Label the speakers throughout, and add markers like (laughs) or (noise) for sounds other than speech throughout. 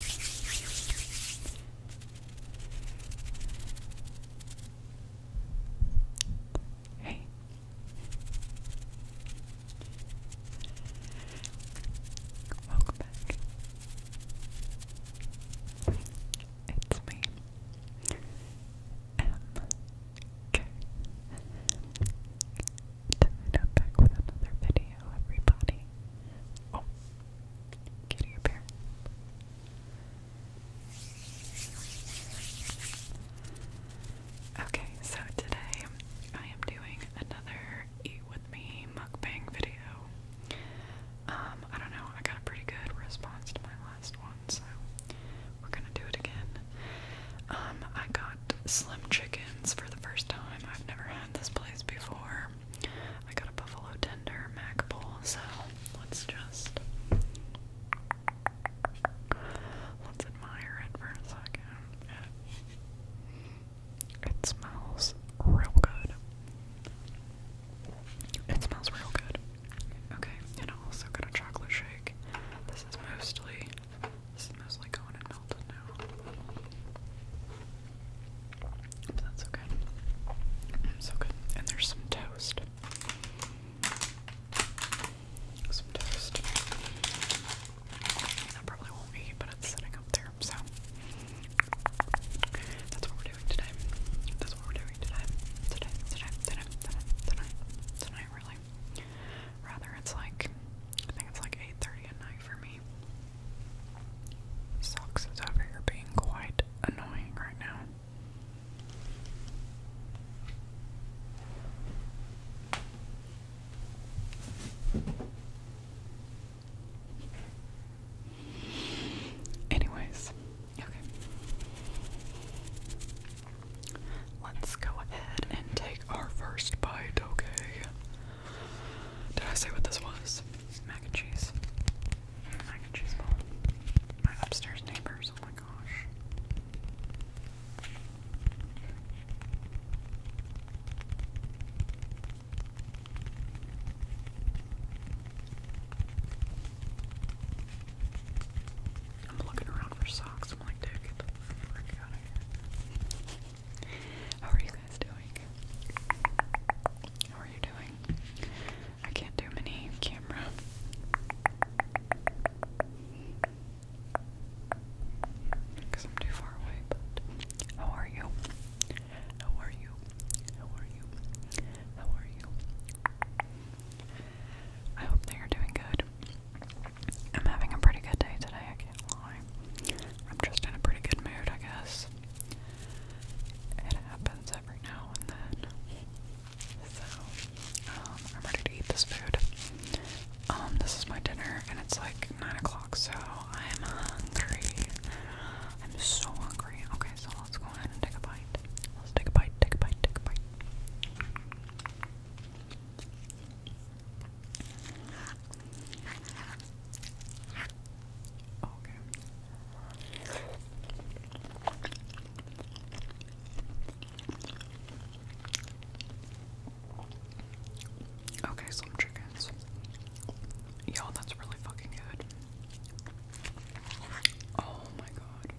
Speaker 1: Hey. Welcome back. It's me. M K. Tonight i back with another video, everybody. Oh. Kitty up here. Okay, so today I am doing another eat with me mukbang video. Um, I don't know, I got a pretty good response to my last one, so we're gonna do it again. Um, I got Slim Chickens for the first time. I've never had this place before tender. I got a buffalo tender mac bowl, so let's just let's admire it for a second. it smells real good. It smells real good. Okay, and I also got a chocolate shake. This is mostly this is mostly going in Arnold, no. But that's okay. Mm, so good. And there's some toast. Some toast. I probably won't eat, but it's sitting up there, so that's what we're doing today. That's what we're doing today. Today, today, today, today, tonight, tonight, really. Rather, it's like I think it's like 8:30 at night for me. Socks is over here being quite annoying right now. Anyways, okay. Let's go ahead and take our first bite, okay? Did I say what this was? Mac and cheese. Mac and cheese bowl. My upstairs neighbors, oh my gosh. I'm looking around for socks. I'm like, dude, how are you guys doing? How are you doing? I can't do many camera. Because I'm too far away, but how are you? How are you? How are you? How are you? I hope that are doing good. I'm having a pretty good day today, I'm just in a pretty good mood, I guess. It happens every now and then. So, um, I'm ready to eat this food. Um, this is my dinner, and it's like 9 o'clock, so I'm hungry. I'm so hungry. Okay, so let's go ahead and take a bite. Let's take a bite, take a bite, take a bite. Okay. Okay, some chickens. Yo, that's really fucking good. Oh my god.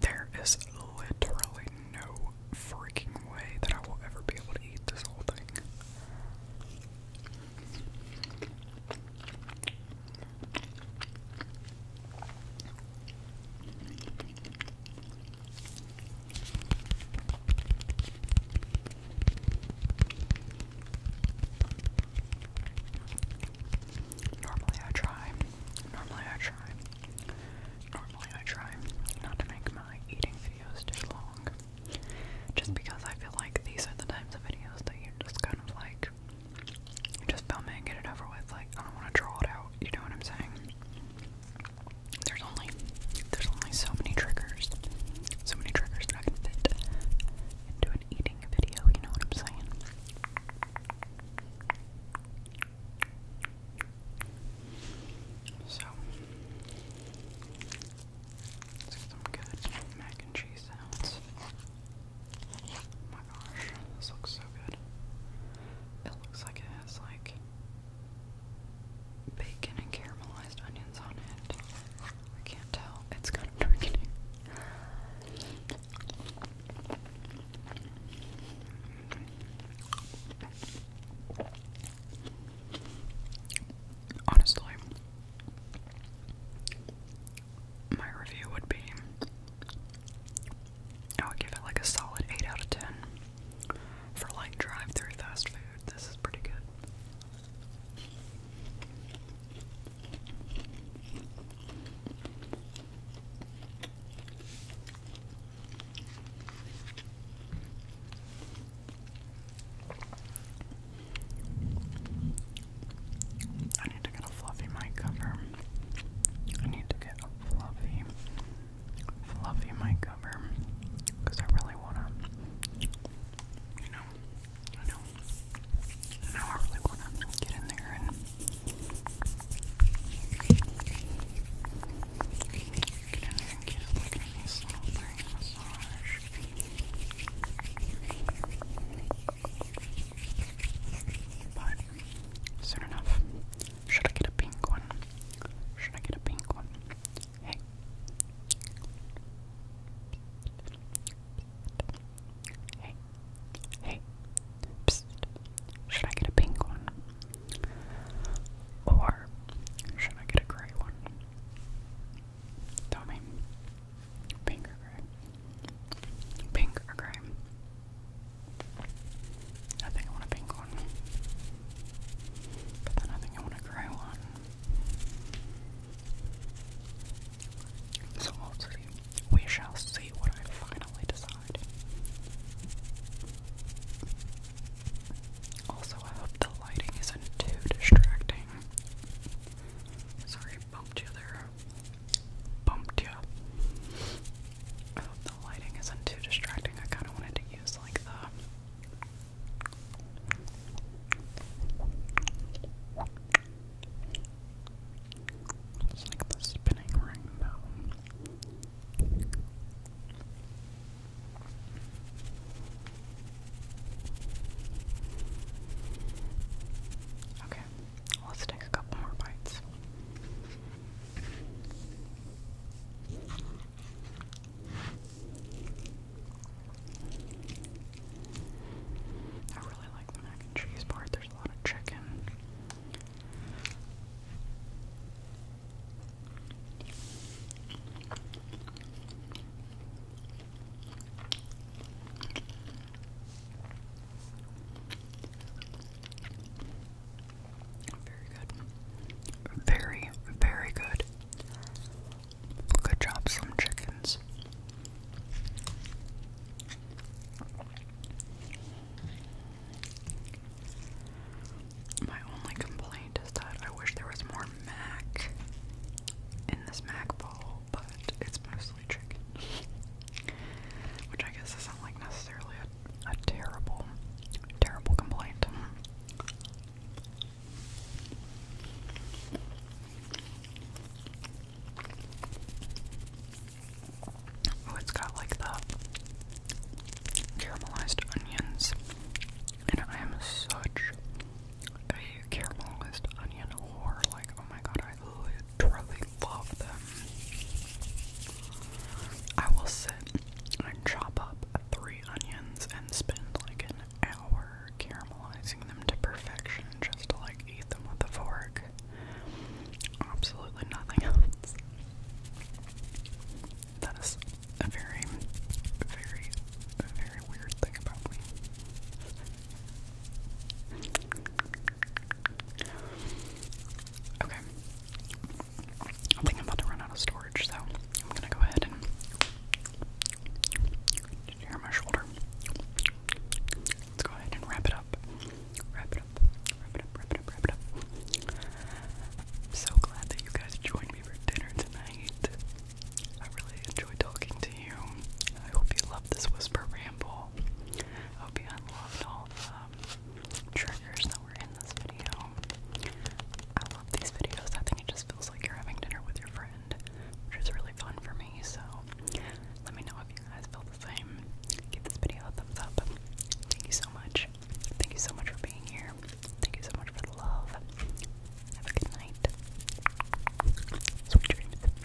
Speaker 1: There is literally no freaking way that I will ever be able to eat this whole thing. Normally I try. Normally I try. Normally I try not to make my eating videos too long. Just because I feel like these are the types of videos that you just kind of like just film it and get it over with. Like I don't want to draw it out, you know what I'm saying? There's only there's only so many triggers, so many triggers that can fit into an eating video. You know what I'm saying? So let's get some good mac and cheese sounds. Oh my gosh, this looks so good. It looks like it has like bacon and caramelized onions on it. I can't tell. It's kind of (laughs) darkening. Honestly, my review would be I would give it like a solid 8 out of 10 for like drive through fast food. This is pretty good. I need to get a fluffy mic cover. I need to get a fluffy fluffy my cover I really want to, you know, I know, I know I really want to get in there and get in there and get a look at these little things massage. But soon enough, should I get a pink one? Should I get a pink one? Hey. Hey. Hey. Should I get a pink one? Or should I get a gray one? Tell me. Pink or gray? Pink or gray? I think I want a pink one. But then I think I want a grey one. So we shall see what I finally decide. Also, I hope the lighting isn't too distracting. Sorry, bumped you there bumped you. I hope the lighting isn't too distracting. I kind of wanted to use like the. It's like the spinning ring, though. Okay, Let's take a couple more bites. I really like the mac and cheese part. There's a lot of chicken. Very good. Very, very good. Good job, some chickens. My only complaint is that I wish there was more mac in this mac bowl, but it's mostly chicken. (laughs) Which I guess isn't like necessarily a, terrible, terrible complaint. Oh, it's got like the caramelized onions, and I am such a caramelized onion whore. Like, oh my god, I literally love them. I will sit and chop up three onions and spend like an hour caramelizing them to perfection just to like eat them with a fork. Absolutely nothing else. That is a very, very, very weird thing about me. Okay. I think I'm about to run out of storage, so I'm gonna go ahead and. Did my shoulder? Let's go ahead and wrap it up. Wrap it up. Wrap it up. Wrap it up. Wrap it up. I'm so glad that you guys joined me for dinner tonight. I really enjoy talking to you. I hope you love this whisper ramble. I hope you unloved all the um, triggers that were in this video. I love these videos. I think it just feels like you're having dinner with your friend, which is really fun for me. So let me know if you guys feel the same. Give this video a thumbs up. Thank you so much. Thank you so much for being here. Thank you so much for the love. Have a good night. Sweet dreams.